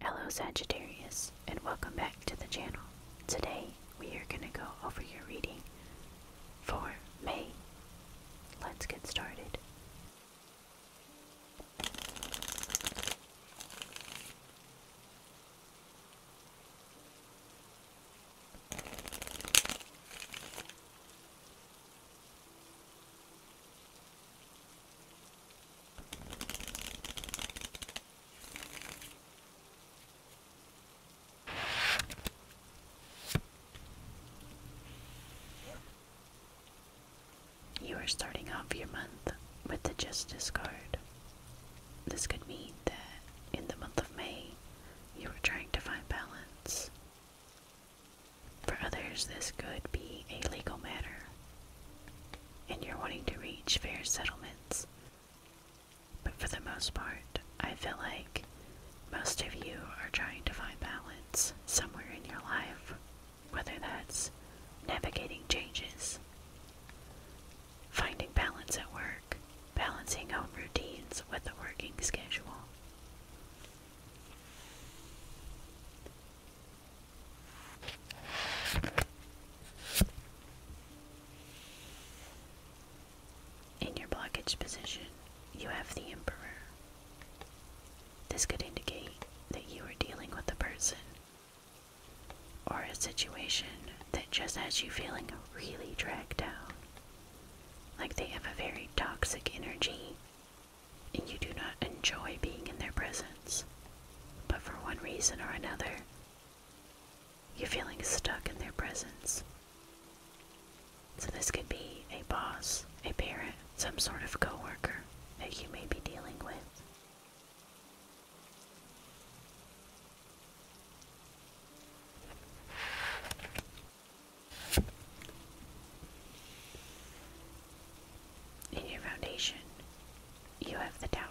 Hello Sagittarius and welcome back to the channel. Today we are going to go over your reading for May. Let's get started. You are starting off your month with the Justice card. This could mean that in the month of May, you were trying to find balance. For others, this could be a legal matter, and you're wanting to reach fair settlements. But for the most part, I feel like most of you are trying to find balance somewhere in your life whether that's navigating changes, finding balance at work, balancing home routines with a working schedule. In your blockage position, you have the Emperor. This could indicate that you are dealing with a person or a situation that just has you feeling really dragged down. Like they have a very toxic energy and you do not enjoy being in their presence. But for one reason or another, you're feeling stuck in their presence. So this could be a boss, a parent, some sort of co-worker that you may be dealing with. In your foundation, you have the tower.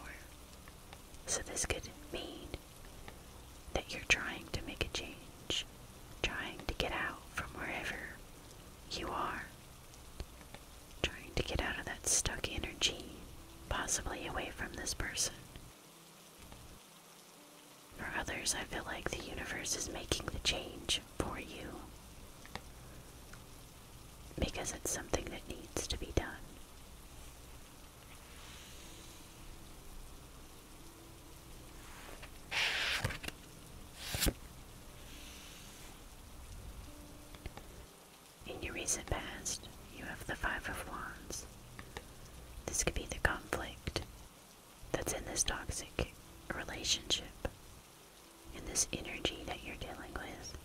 So, this could mean that you're trying to make a change, trying to get out from wherever you are. Trying to get out of that stuck energy, possibly away from this person. For others, I feel like the universe is making the change for you because it's something that needs to be done. In your recent past, you have the Five of Wands. This could be the conflict that's in this toxic relationship, and this energy that you're dealing with.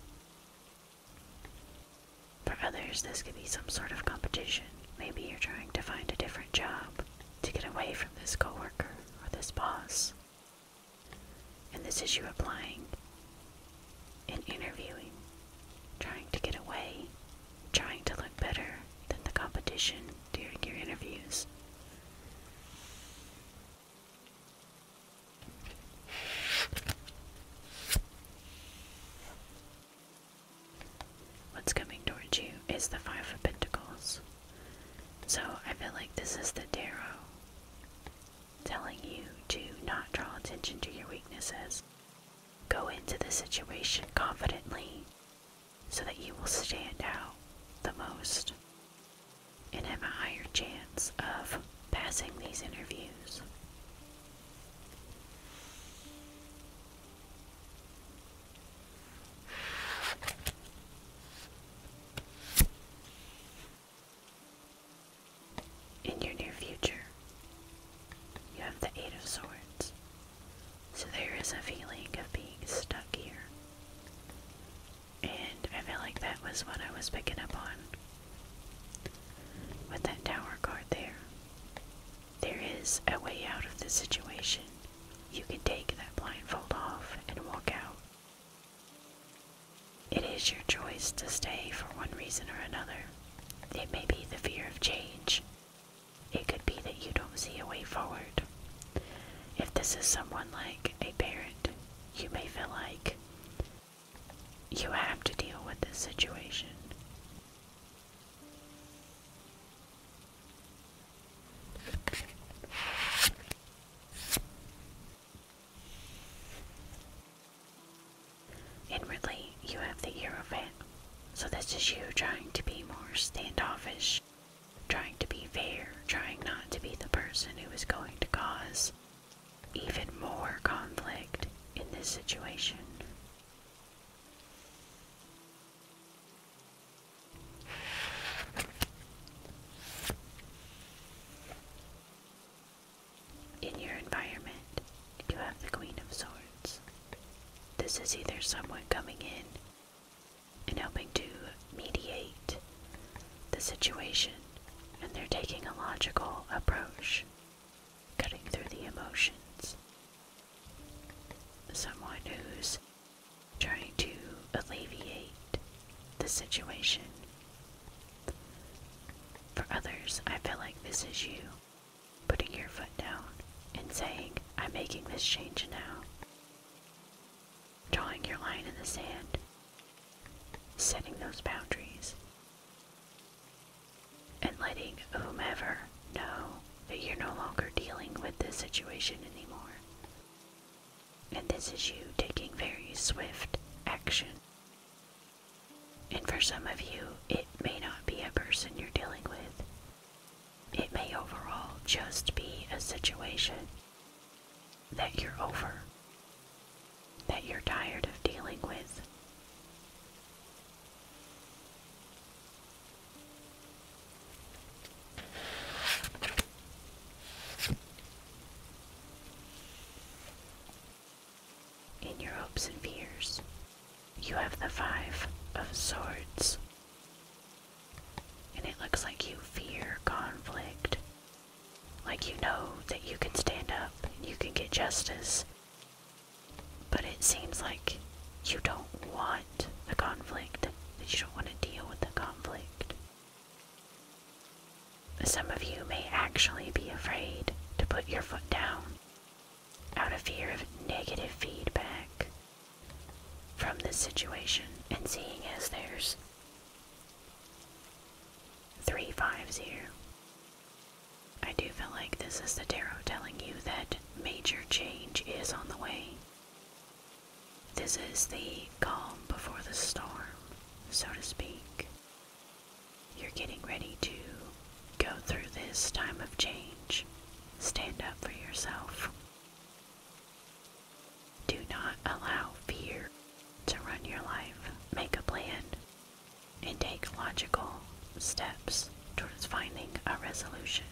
For others, this could be some sort of competition. Maybe you're trying to find a different job to get away from this coworker or this boss and this is you applying and interviewing, trying to get away, trying to look better than the competition during your interviews. What's coming towards you is the Five of Pentacles. So I feel like this is the Darrow telling you to not draw attention to your weaknesses. Go into the situation confidently so that you will stand out the most and have a higher chance of passing these interviews. In your near future, you have the Eight of Swords, so there is a feeling of being stuck here. And I feel like that was what I was picking up on with that Tower card there. There is a way out of this situation. You can take that blindfold off and walk out it is your choice to stay for one reason or another. It may be the fear of change. It could be that you don't see a way forward. If this is someone like a parent, you may feel like you have to deal with this situation. Inwardly, you have the ear of so this is you trying to be more standoffish, trying to be fair, trying not to be the person who is going to cause even more conflict in this situation. In your environment, you have the Queen of Swords. This is either someone coming in and helping to mediate the situation, and they're taking a logical approach, cutting through the emotions. Someone who's trying to alleviate the situation. For others, I feel like this is you putting your foot down and saying, I'm making this change now. Drawing your line in the sand, setting those boundaries, and letting whomever know that you're no longer dealing with this situation anymore. And this is you taking very swift action. And for some of you, it may not be a person you're dealing with. It may overall just be a situation that you're over, that you're tired of dealing with. In your hopes and fears, you have the Five of Swords. And it looks like you fear conflict. Like you know that you can stand up and you can get justice. But it seems like you don't want the conflict, that you don't want to deal with the conflict. Some of you may actually be afraid to put your foot down out of fear of negative feedback from this situation and seeing as there's three fives here. I do feel like this is the tarot telling you that major change is on the way. This is the calm before the storm, so to speak. You're getting ready to go through this time of change. Stand up for yourself. Do not allow fear to run your life. Make a plan and take logical steps towards finding a resolution.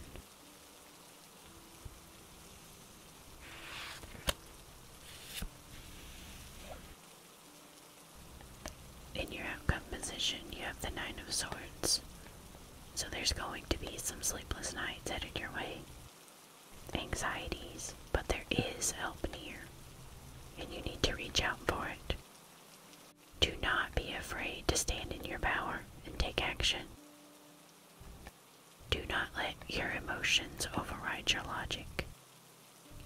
In your outcome position, you have the Nine of Swords, so there's going to be some sleepless nights headed your way, anxieties, but there is help near, and you need to reach out for it. Do not be afraid to stand in your power and take action. Do not let your emotions override your logic.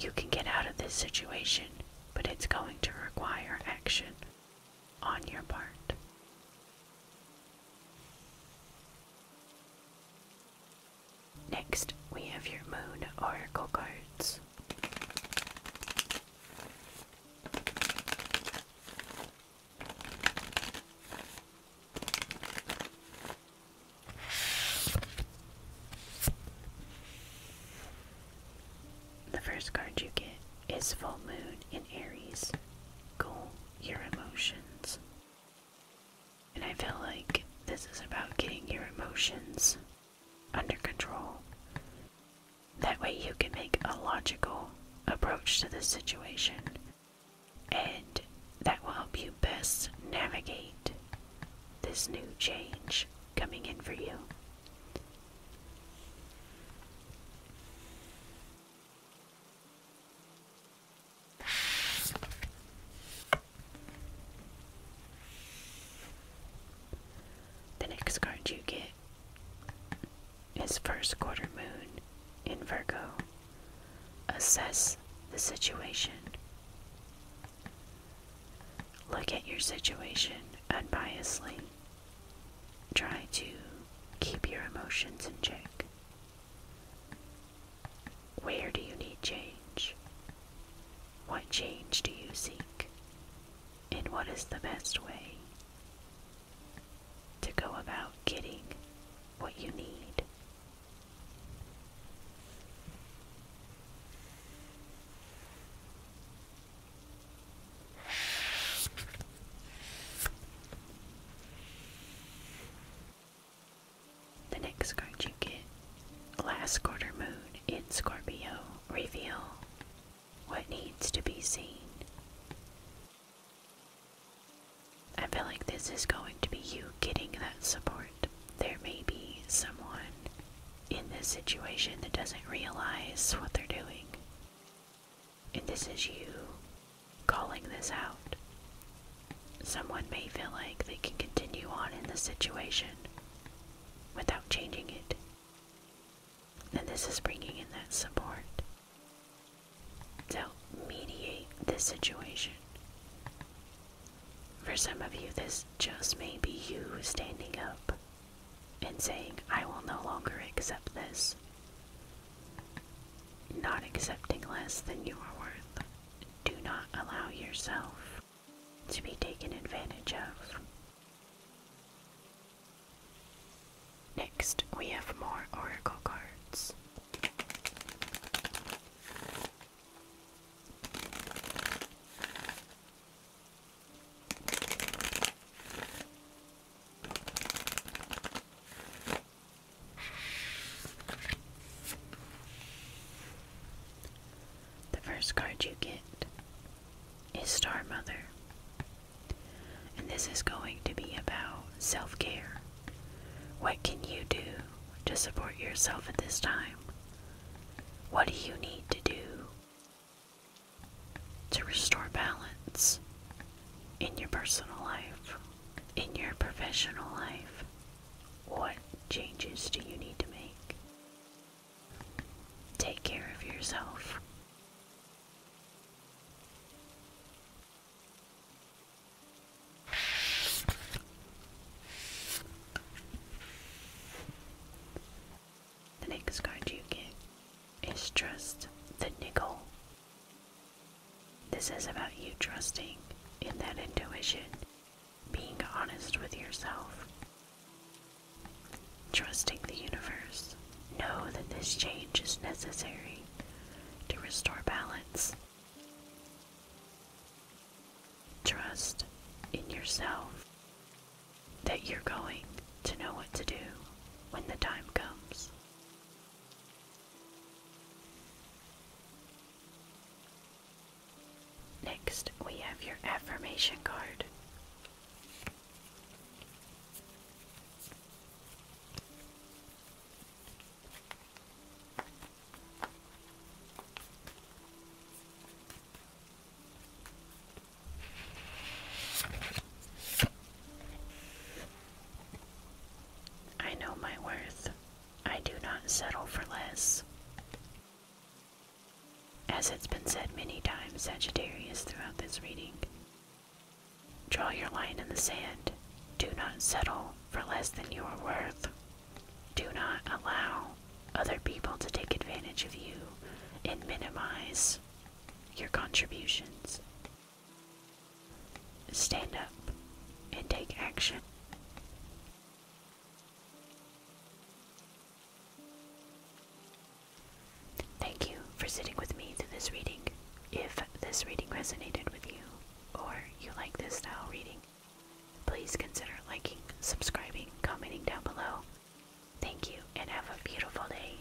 You can get out of this situation, but it's going to require action on your part. Next, we have your Moon Oracle cards. The first card you get is Full Moon in Aries. Cool your emotions. And I feel like this is about getting your emotions under control that way, you can make a logical approach to the situation, and that will help you best navigate this new change coming in for you. The next card you get is first quarter moon in Virgo. Assess the situation. Look at your situation unbiasedly. Try to keep your emotions in check. Where do you need change? What change do you seek? And what is the best way to go about getting what you need. The next card you get, Last Quarter Moon in Scorpio, reveal what needs to be seen. I feel like this is going to be you getting that support. There may be someone in this situation that doesn't realize what they're doing. And this is you calling this out. Someone may feel like they can continue on in the situation without changing it. And this is bringing in that support to help mediate this situation. For some of you, this just may be you standing up and saying, I will no longer accept this. Not accepting less than you are worth. Do not allow yourself to be taken advantage of. Next, we have more oracle cards. The first card you get is Star Mother. And this is going to be about self care. What can you do to support yourself at this time? What do you need to do to restore balance in your personal life, in your professional life? What changes do you need to make? Take care of yourself. The next card you get is Trust the Nickel. This is about you trusting in that intuition being honest with yourself, trusting the universe. Know that this change is necessary to restore balance. Trust in yourself that you're going to know what to do when the time comes. Next, we have your affirmation card. I know my worth. I do not settle for less. As it's been said many times, Sagittarius, throughout this reading, draw your line in the sand. Do not settle for less than you are worth. Do not allow other people to take advantage of you and minimize your contributions. Stand up and take action. Thank you for sitting with me through this reading. If this reading resonated with you, or you like this style reading, please consider liking, subscribing, commenting down below. Thank you, and have a beautiful day.